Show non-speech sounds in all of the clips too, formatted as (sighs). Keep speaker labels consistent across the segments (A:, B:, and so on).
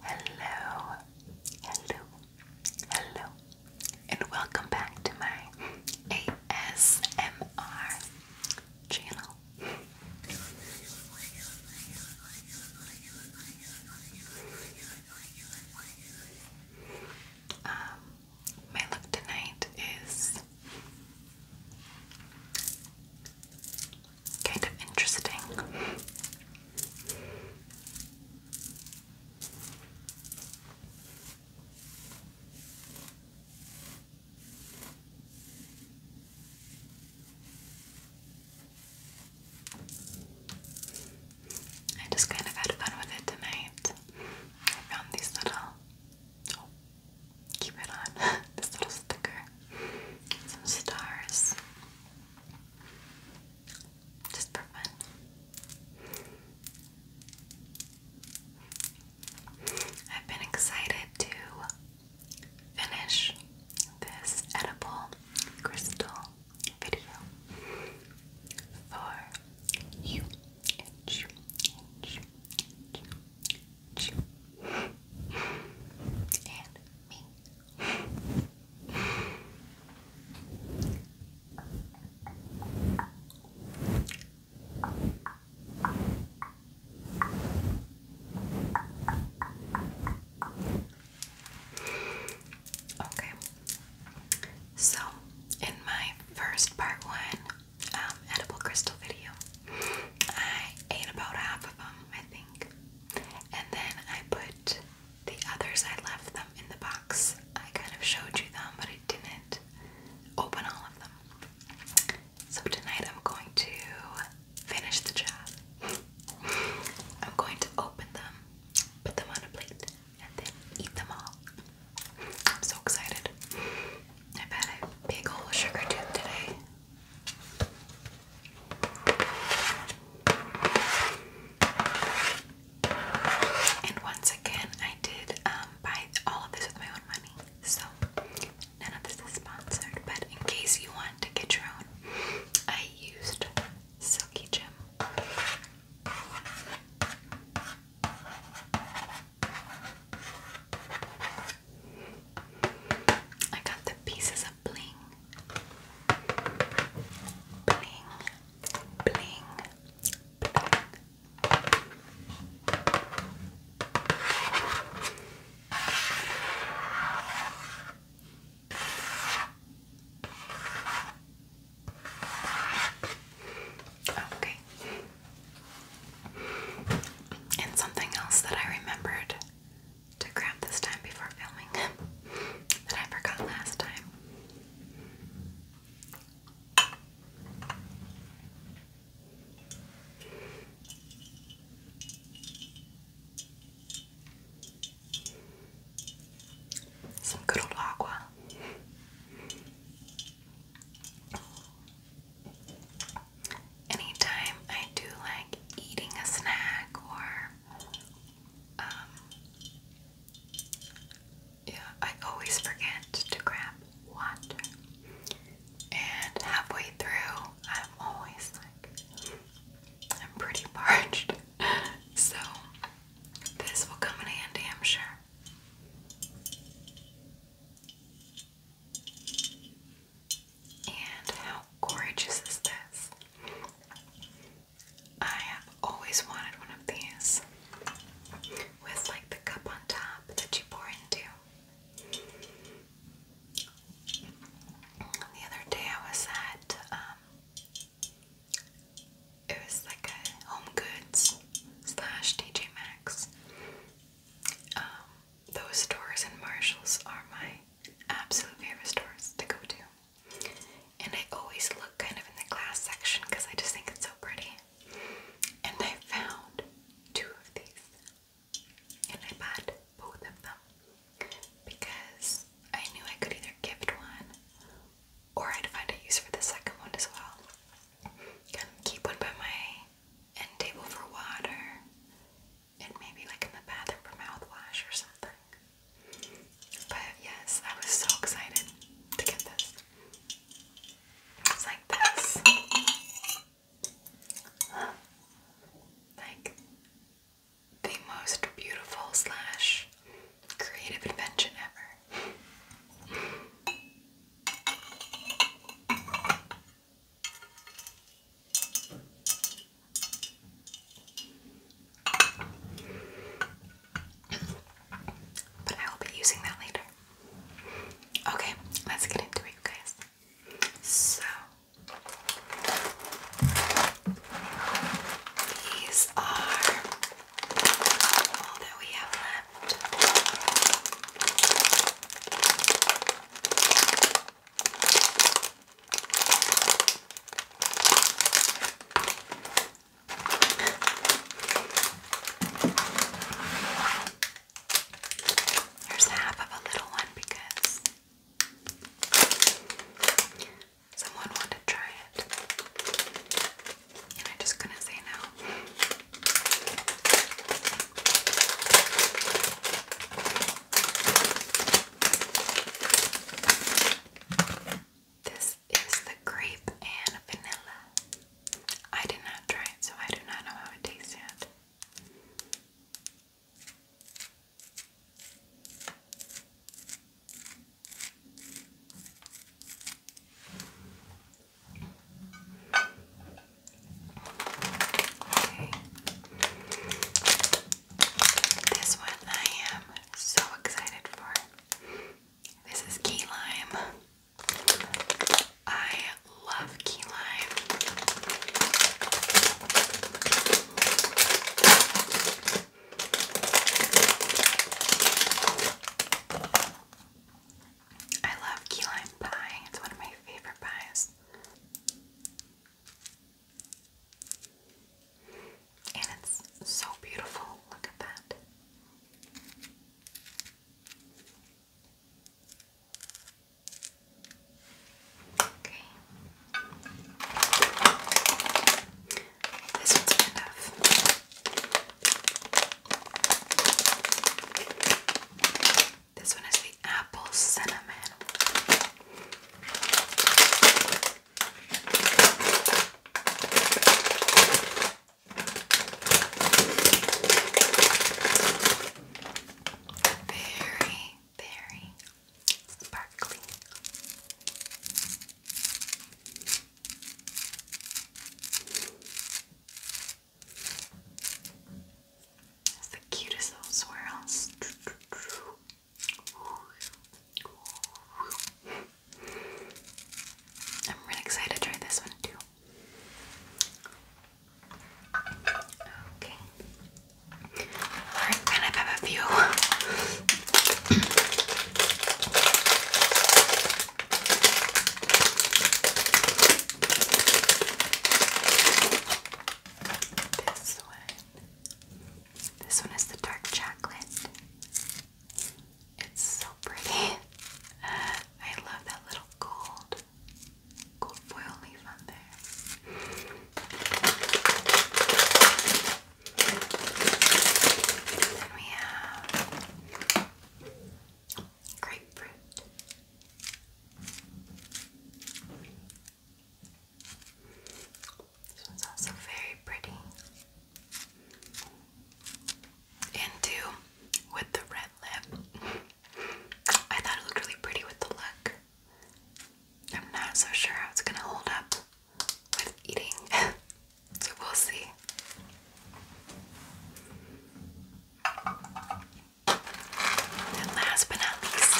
A: Hello, hello, hello, and welcome back to my ASMR channel. Um, my look tonight is kind of interesting. I just kind of had fun with it tonight. I found these little oh, keep it on (laughs) this little sticker, some stars, just for fun. I've been excited to finish this edible crystal video for you and me. Okay, so in my first part one um, edible crystal video, I ate about half of them, I think, and then I put the others, I left them in the box. I kind of showed you them, but I didn't open all of them. So tonight I'm going to finish the job. I'm going to open them, put them on a plate, and then eat them all. I'm so excited. I bet I big ol' sugar tooth today. And once again, I did um, buy all of this with my own money, so none of this is sponsored. But in case you want to get your own, I used Silky Gem. I got the pieces of Bling, bling, bling, Okay. And something else that I remembered to grab this time before filming (laughs) that I forgot last time some good old aqua. Anytime I do like eating a snack or um, yeah, I always forget to grab water. And halfway through, I'm always like, I'm pretty parched. (laughs) so, this will come in handy, I'm sure. And how gorgeous is this? I have always wanted one of these with like the cup on top that you pour into. The other day I was at, um, it was like a Home slash DJ Maxx. Um, those stores and Marshalls are my absolute favorite stores to go to. And I always look kind of in the glass section because I just think it's so pretty. And I found two of these. And I bought both of them because I knew I could either gift one or I'd find a use for the second one as well. keep one by my end table for water and maybe like in the bathroom for mouthwash or something. But yes, I was so excited to get this. It's like this. Like the most beautiful slash creative invention ever. But I will be using that later. Okay, let's get into it, guys. So, these are all that we have left. Here's half of a little one because someone wanted to try it. And I just couldn't say no. This this is the grape and vanilla. I did not try it, so I do not know how it tastes yet. This one I am so excited for. This is key lime. I love key lime. I love key lime pie. It's one of my favorite pies. And it's so beautiful. Look at that. Okay. This one's enough. This one is the apple cinnamon. Very, very sparkly. That's the cutest little swirls. Ooh. I'm really excited to try this one too. Okay. Alright, kind of have a few. this one. This one is the dark chocolate. It's so pretty. I love that little gold, gold foil leaf on there. then we have grapefruit. This one's also very pretty. And two, with the red lip. I thought it looked really pretty with the look. I'm not so sure how it's gonna hold up with eating, (laughs) so we'll see. And last but not least,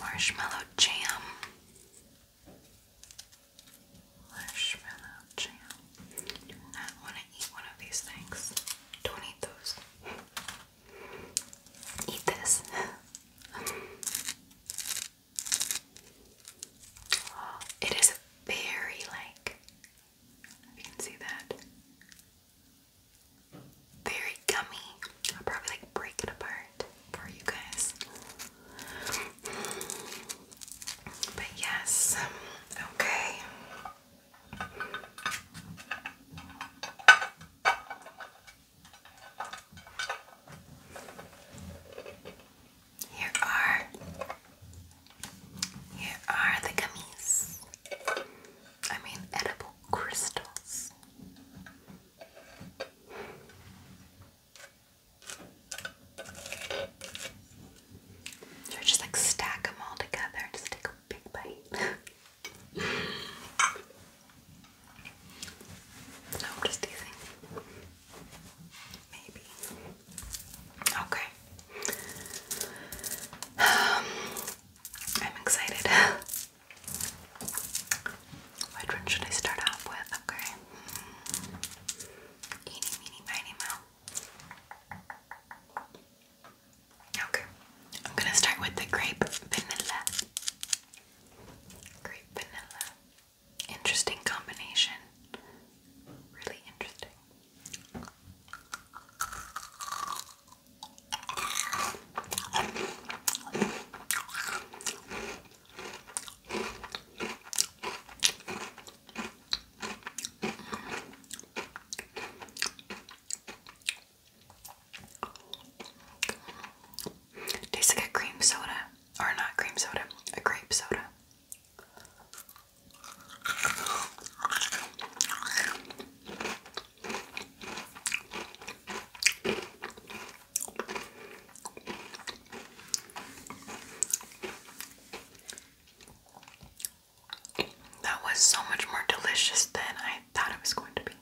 A: marshmallow jam. Marshmallow jam. Do want to eat one of these things. Don't eat those. Eat this. it is very like, if you can see that, very gummy. I'll probably like break it apart for you guys. But yes, okay. Here are here are the gummies. I mean edible crystals. So just like stack them all together and just take a big bite. (laughs) No, I'm just teasing. Maybe. Okay. (sighs) I'm excited. (laughs) Which one should I start off with? Okay. Eeny, meeny, miny, moe. Okay, I'm gonna start with the grape vanilla. Grape vanilla. Interesting combination. Really interesting. Tastes like a cream soda. Or not cream soda, a grape soda. That was so much more delicious than I thought it was going to be.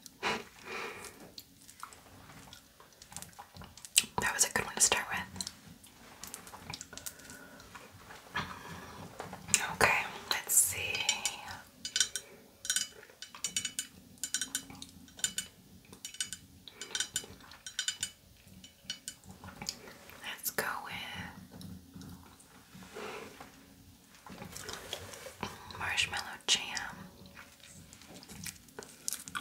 A: That was a good one to start with. Okay, let's see. Let's go with marshmallow jam. I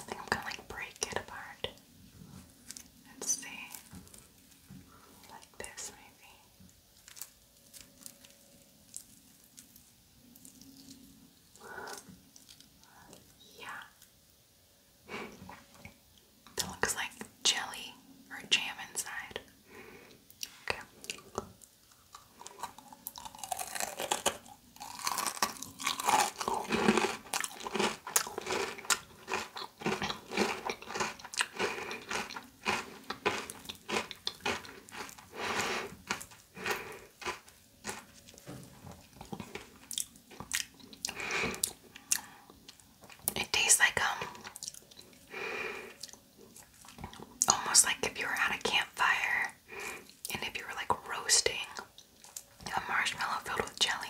A: think I'm gonna like break it apart and see. Like this, maybe. Yeah that looks like jelly or jam inside. Okay. It tastes like um almost like you were at a campfire and if you were like roasting a marshmallow filled with jelly.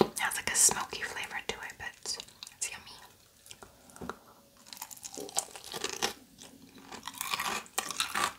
A: It has like a smoky flavor to it, but it's yummy.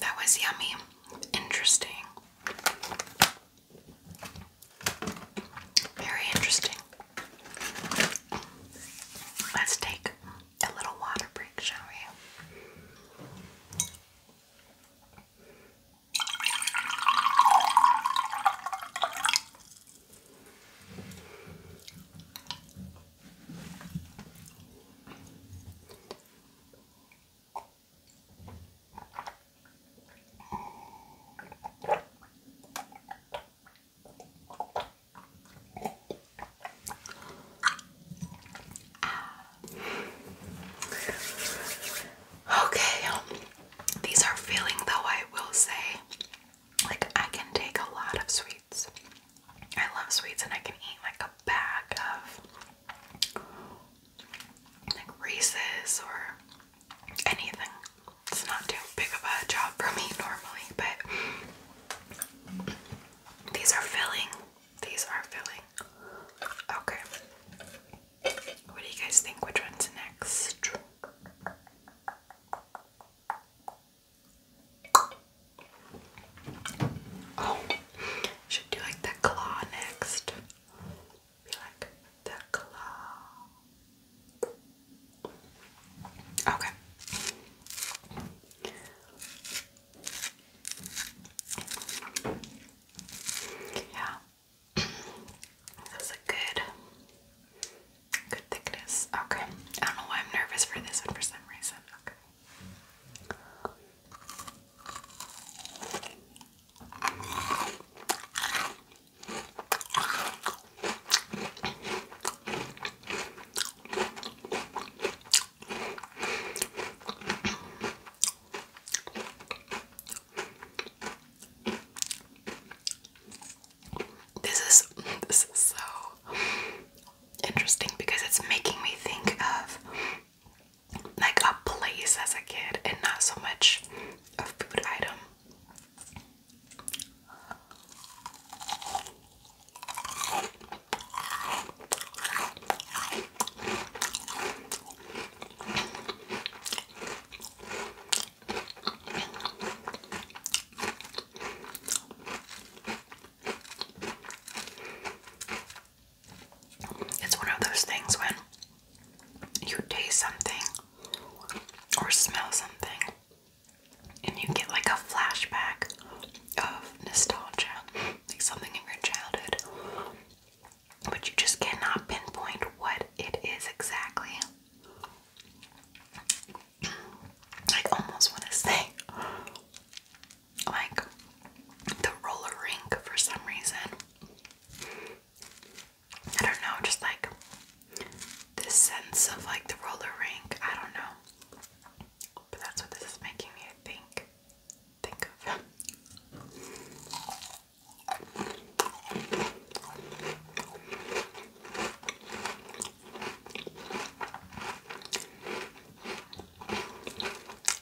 A: that was yummy. Interesting. Very interesting. Let's take a little water break, shall we? Okay, um, these are feeling though, I will say. Like, I can take a lot of sweets. I love sweets and I can eat like a bag of like races or anything. It's not too big of a job for me normally, but these are filling. These are filling. Okay. What do you guys think? Which one's next? Oh, should do like the claw next be like the claw. Okay. Yeah. That's a good good thickness. Okay. I don't know why I'm nervous for this one for some reason. Okay. This is (laughs) this is so interesting because it's making me think of like a place as a kid and not so much a food item. It's one of those things when you taste something or smell something and you get like a flashback of nostalgia, like something in your childhood, but you just cannot pinpoint what it is exactly. I almost want to say, like, the roller rink for some reason. I don't know, just like this sense of like the roller rink. I don't know. But that's what this is making me think think of.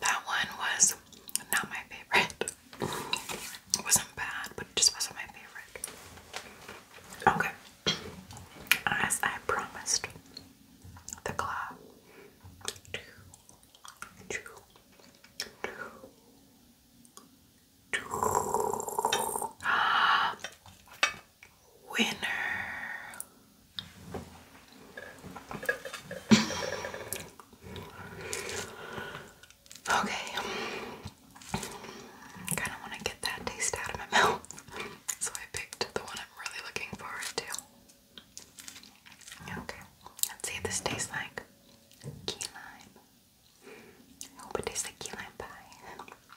A: That one was not my favorite. It wasn't bad, but it just wasn't my favorite. Okay. As I promised, the claw winner. okay. kind of want to get that taste out of my (laughs) mouth. so I picked the one I'm really looking forward to. Okay. Let's see what this tastes like. Key lime. I hope it tastes like key lime pie.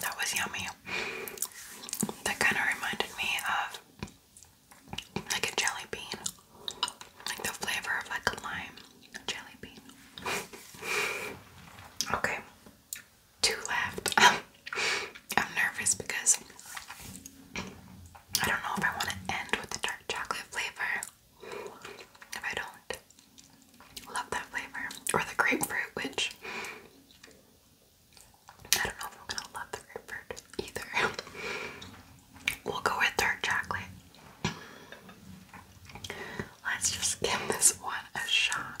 A: That was yummy. That kind of reminded me of like a jelly bean, like the flavor of like a lime jelly bean. Okay, two left. (laughs) I'm nervous because I don't know if I want to end with the dark chocolate flavor. If I don't love that flavor, or the grapefruit, which I don't know if I'm gonna love the grapefruit either. (laughs) we'll go with dark chocolate. Let's just give this one a shot.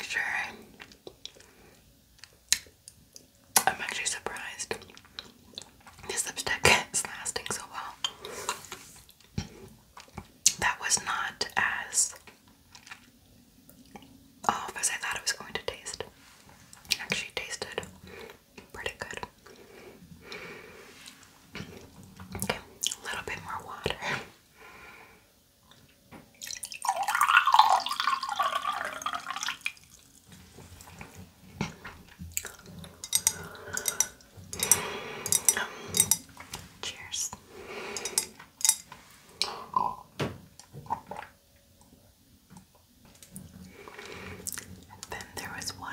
A: Sure. I'm actually surprised this lipstick is lasting so well. That was not as off as I thought it was going to taste. actually tasted pretty good. Okay, a little bit more water. Cheers. And then there was one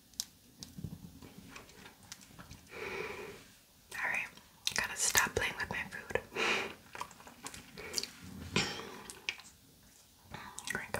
A: Alright, gotta stop playing with my food. Drink.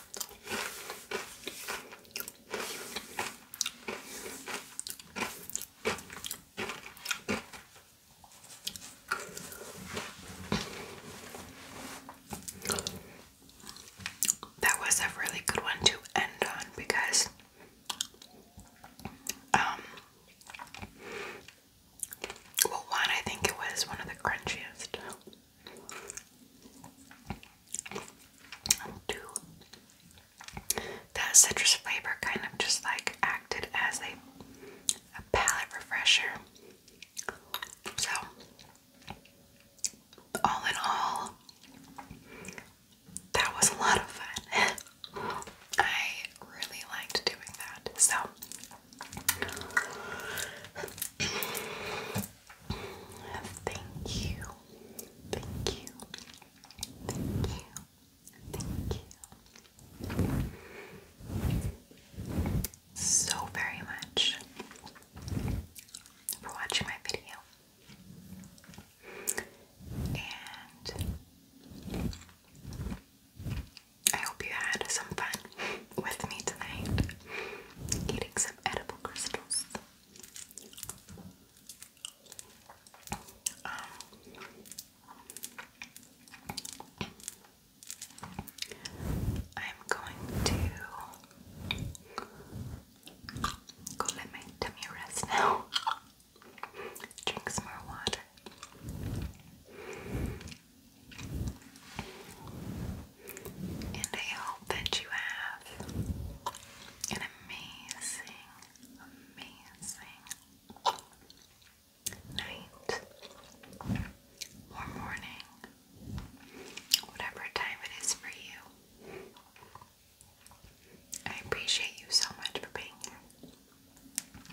A: That was a really good one to end on because um, well one I think it was one of the crunchiest that citrus flavor kind of just like acted as a, a palate refresher. So, all in all, that was a lot of fun. (laughs) I really liked doing that. So, Thank you. Thank you. Thank you. Thank you. So very much for watching my video. And I hope you had some fun with me tonight, eating some edible crystals. Um, I'm going to go let my tummy rest now. Drink some more water. And I hope that you have an amazing, amazing night or morning, whatever time it is for you. I appreciate you so much for being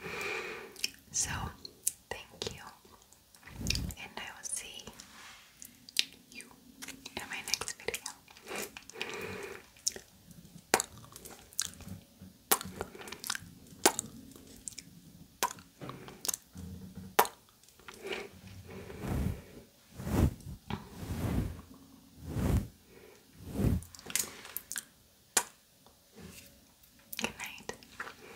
A: here. So, thank you and I will see you in my next video. Good night.